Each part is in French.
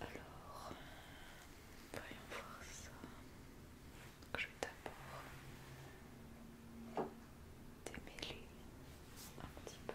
Alors, voyons voir ça. Je vais d'abord démêler un petit peu.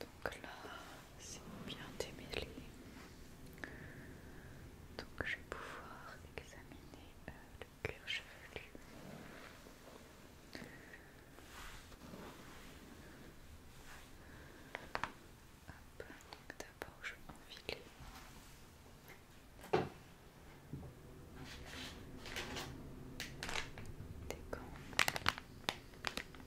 Donc là, c'est bien démêlé. Donc je vais pouvoir examiner euh, le cuir chevelu. d'abord je vais enfiler.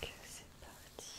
Donc c'est parti.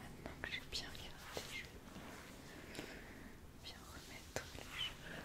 Maintenant que j'ai bien regardé les cheveux, bien remettre les cheveux.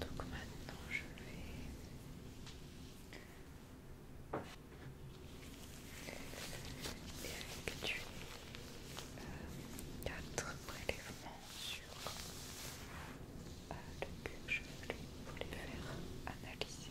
Donc maintenant je vais effectuer tu euh, quatre prélèvements sur euh, le cul pour les faire analyser.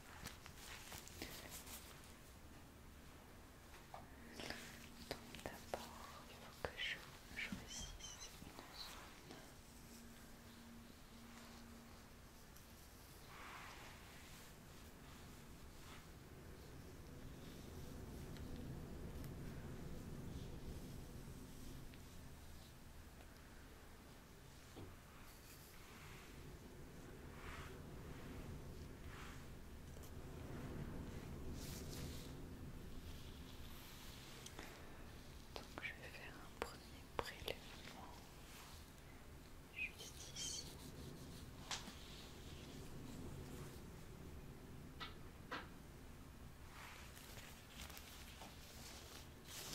Donc d'abord, il faut que je choisisse une zone. Donc je vais faire un premier prélèvement juste ici.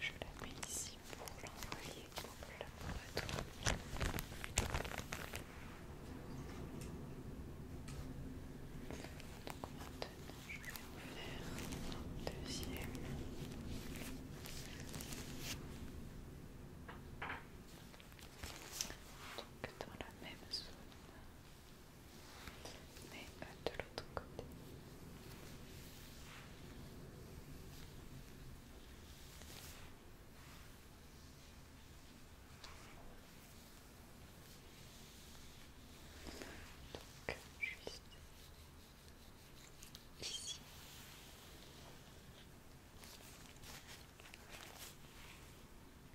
Je la mets ici pour l'envoyer au laboratoire. Donc maintenant, je vais en faire un deuxième donc dans la même zone mais euh, de l'autre côté donc juste ici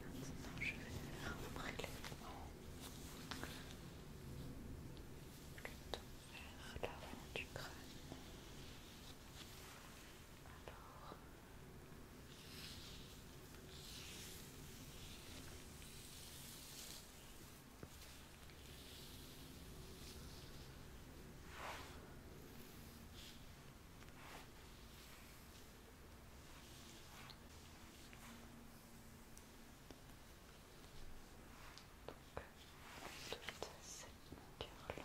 Maintenant, je vais faire un plutôt du crâne. Donc, toute cette longueur-là.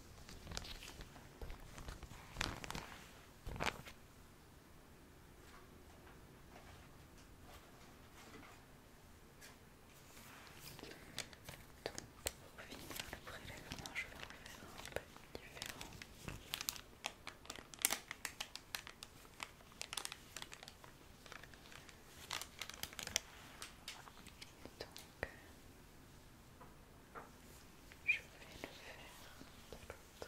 Donc, pour finir le prélèvement, je vais en faire un peu différent je vais le faire de l'autre côté.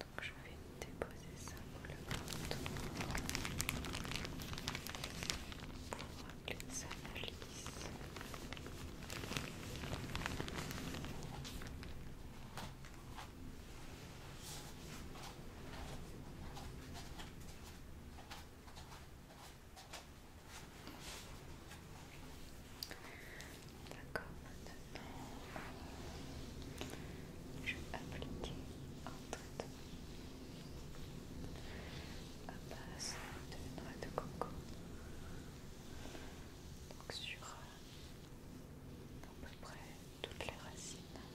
Donc je vais déposer ça pour le pour D'accord, maintenant je vais appliquer un traitement à base de noix de coco. sur euh, à peu près toutes les racines. Donc,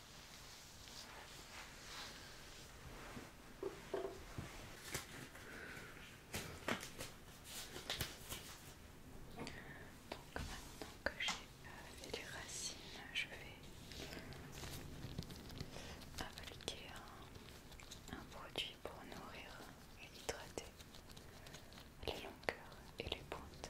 Donc maintenant que j'ai euh, fait les racines, je vais appliquer un, produit pour nourrir et hydrater les longueurs et les pointes.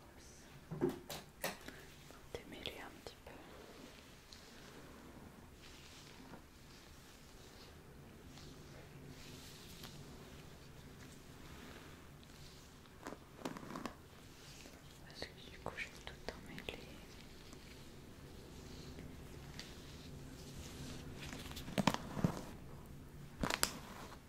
brosse. Démêler un petit peu. Parce que du coup je vais tout emmêlé.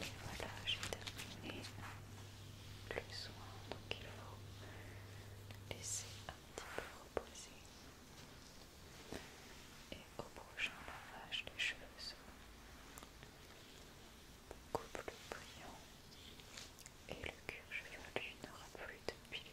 Et voilà, j'ai terminé le soin, donc il faut laisser un petit peu reposer. Et au prochain lavage, les cheveux seront beaucoup plus brillants et le cuir chevelu n'aura plus de pile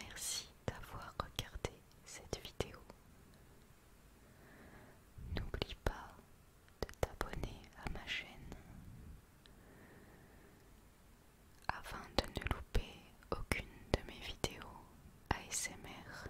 Merci d'avoir regardé cette vidéo. N'oublie pas de t'abonner à ma chaîne afin de ne louper aucune de mes vidéos ASMR.